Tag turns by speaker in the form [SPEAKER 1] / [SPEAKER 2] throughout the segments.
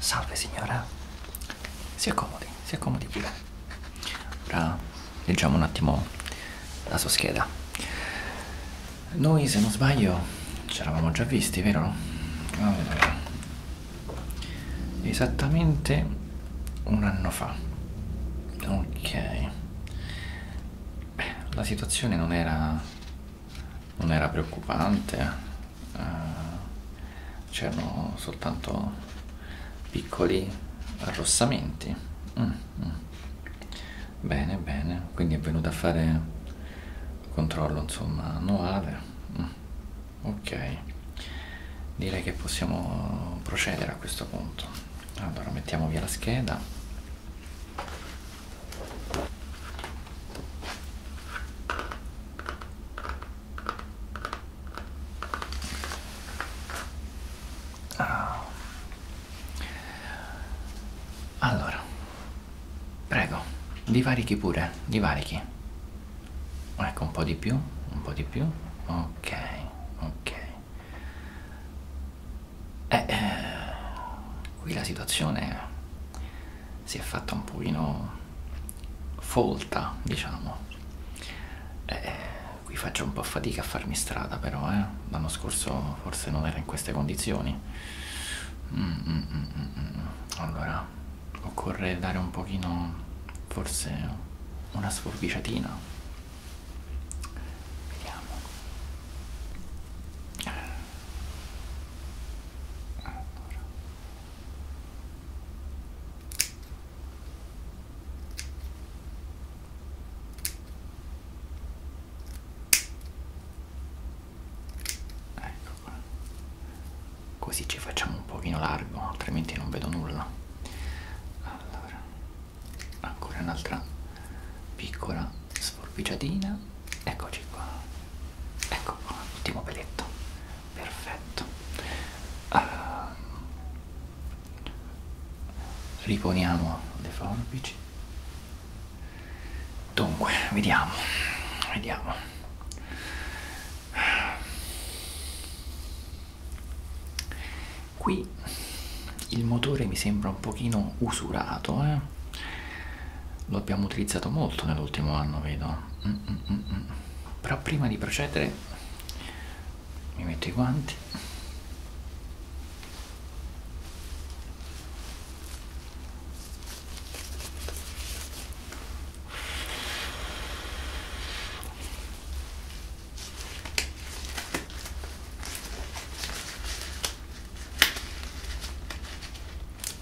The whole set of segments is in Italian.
[SPEAKER 1] Salve signora, si accomodi, si accomodi pure. Ora leggiamo un attimo la sua scheda. Noi, se non sbaglio, ci eravamo già visti, vero? Allora, esattamente un anno fa. Ok. Beh, la situazione non era non era preoccupante, eh, c'erano soltanto piccoli arrossamenti. Mm, mm. Bene, bene, quindi è venuta a fare controllo insomma annuale. Mm. Ok, direi che possiamo procedere a questo punto. Allora mettiamo via la scheda. Ah. Allora, prego, divarichi pure, divarichi. Ecco, un po' di più, un po' di più. Ok, ok. Eh, eh, qui la situazione si è fatta un pochino folta, diciamo. Eh, qui faccio un po' fatica a farmi strada, però eh. l'anno scorso forse non era in queste condizioni. Mm, mm, mm, allora, occorre dare un pochino, forse, una sforbiciatina. Vediamo allora. ecco qua così ci facciamo un pochino largo altrimenti non vedo nulla allora ancora un'altra piccola sforbiciatina eccoci qua ecco qua l'ultimo peletto perfetto uh, riponiamo le forbici dunque vediamo vediamo qui il motore mi sembra un pochino usurato eh? lo abbiamo utilizzato molto nell'ultimo anno vedo mm, mm -mm -mm. però prima di procedere mi metto i guanti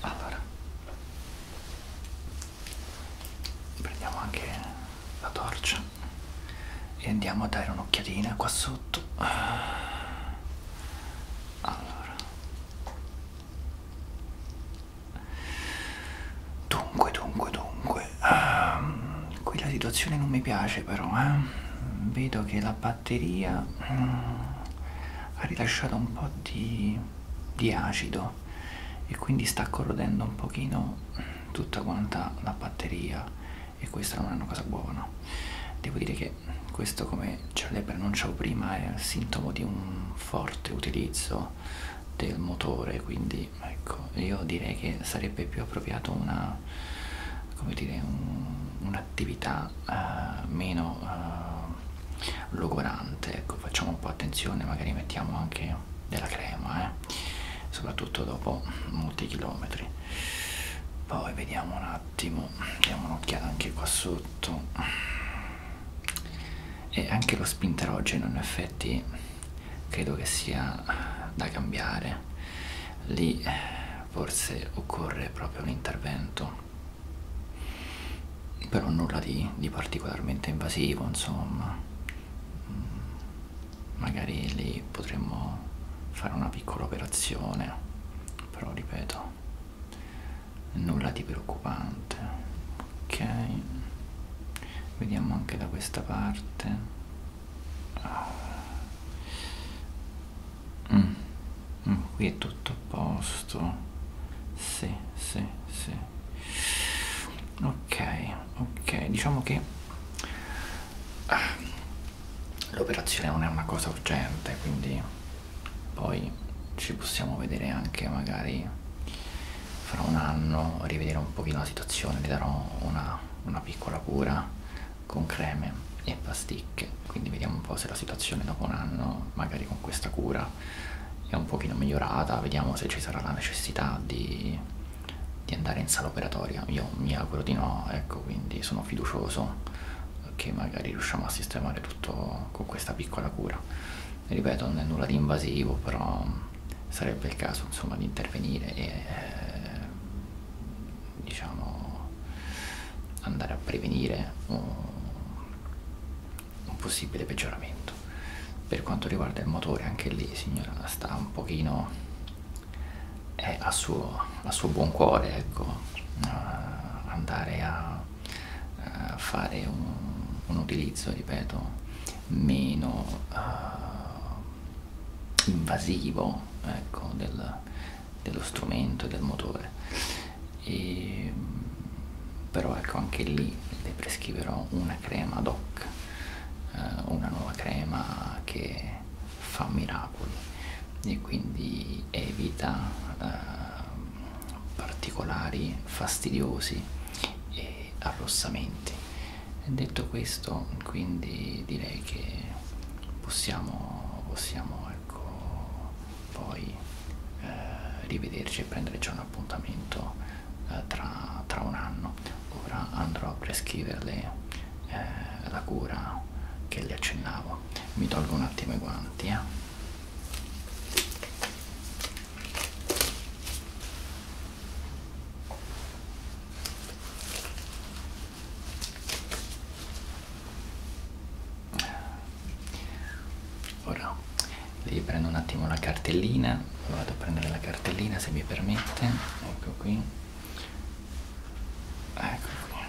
[SPEAKER 1] Allora, prendiamo anche la torcia e andiamo a dare un'occhiatina qua sotto allora dunque dunque dunque um, qui la situazione non mi piace però eh vedo che la batteria um, ha rilasciato un po' di, di acido e quindi sta corrodendo un pochino tutta quanta la batteria e questa non è una cosa buona devo dire che che questo come le preannunciavo prima è il sintomo di un forte utilizzo del motore quindi ecco io direi che sarebbe più appropriato una come dire un'attività un uh, eh, meno uh, logorante ecco facciamo un po' attenzione magari mettiamo anche della crema eh? soprattutto dopo molti chilometri poi vediamo un altro attimo diamo un'occhiata anche qua sotto e anche lo spinterogeno in effetti credo che sia da cambiare lì forse occorre proprio un intervento però nulla di, di particolarmente invasivo insomma mm, magari lì potremmo fare una piccola operazione però ripeto nulla di preoccupante ok vediamo anche da questa parte ah. mm. Mm, qui è tutto a posto sì sì sì ok ok diciamo che ah l'operazione non è una cosa urgente quindi poi ci possiamo vedere anche magari fra un anno rivedere un pochino la situazione le darò una, una piccola cura con creme e pasticche quindi vediamo un po' se la situazione dopo un anno magari con questa cura è un pochino migliorata vediamo se ci sarà la necessità di, di andare in sala operatoria io mi auguro di no ecco quindi sono fiducioso che magari riusciamo a sistemare tutto con questa piccola cura. Ripeto, non è nulla di invasivo, però sarebbe il caso insomma di intervenire e eh, diciamo andare a prevenire un, un possibile peggioramento. Per quanto riguarda il motore, anche lì signora sta un pochino è eh, a suo a suo buon cuore ecco, andare a, a fare un, un, utilizzo, ripeto, meno uh, invasivo ecco, del, dello strumento e del motore. E, però ecco anche lì le prescriverò una crema ad hoc, eh, una nuova crema che fa miracoli miracoli e quindi evita eh, particolari fastidiosi e arrossamenti. Detto questo, quindi direi che possiamo, possiamo ecco, poi eh, rivederci e prendere già un appuntamento eh, tra, tra un anno. Ora andrò a prescriverle eh, la cura che le accennavo. Mi tolgo un attimo i guanti. Eh. Ora devi prendo un attimo la cartellina, vado a prendere la cartellina se mi permette, ecco qui, ecco qui.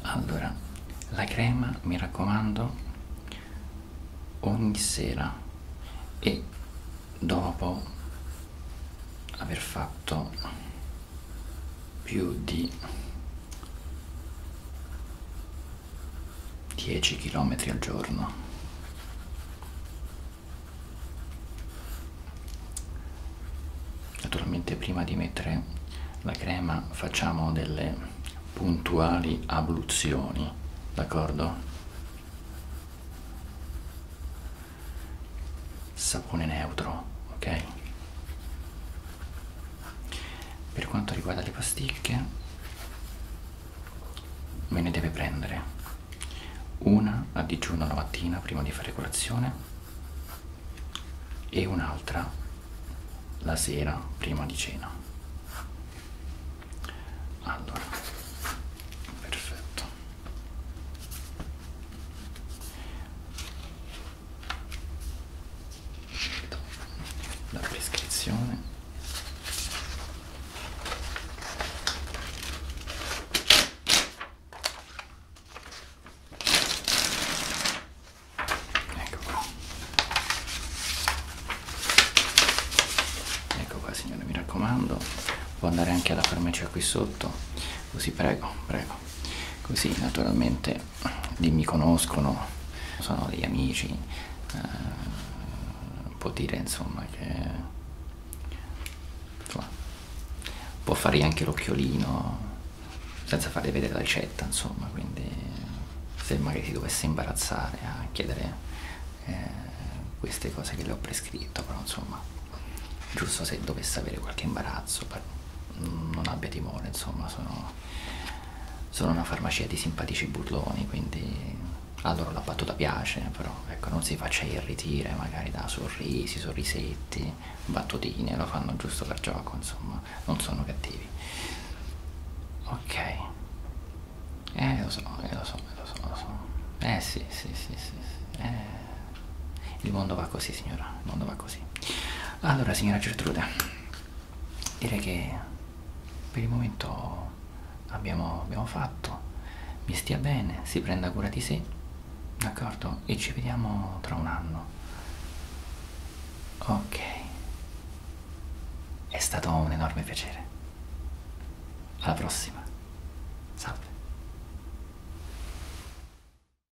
[SPEAKER 1] Allora. allora, la crema mi raccomando ogni sera e dopo aver fatto più di 10 km al giorno. Naturalmente prima di mettere la crema facciamo delle puntuali abluzioni, d'accordo? sapone neutro ok per quanto riguarda le pasticche me ne deve prendere una a digiuno la mattina prima di fare colazione e un'altra la sera prima di cena allora perfetto la prescrizione ecco qua ecco qua signore mi raccomando può andare anche alla farmacia qui sotto Così prego, prego. Così naturalmente li mi conoscono, sono degli amici. Eh, può dire insomma che insomma, può fare anche l'occhiolino senza farle vedere la ricetta, insomma, quindi se magari si dovesse imbarazzare a chiedere eh, queste cose che le ho prescritto, però insomma, giusto se dovesse avere qualche imbarazzo. Per, non abbia timore, insomma, sono, sono una farmacia di simpatici burloni, quindi a loro la battuta piace, però ecco, non si faccia irritire magari da sorrisi, sorrisetti, battutine, lo fanno giusto per gioco, insomma, non sono cattivi. Ok. Eh, lo so, eh, lo so, eh, lo so, lo so. Eh sì, sì, sì, sì, sì. Eh il mondo va così signora, il mondo va così. Allora signora Gertrude, direi che per il momento abbiamo, abbiamo fatto, mi stia bene, si prenda cura di sé, d'accordo? E ci vediamo tra un anno. Ok, è stato un enorme piacere. Alla prossima, salve.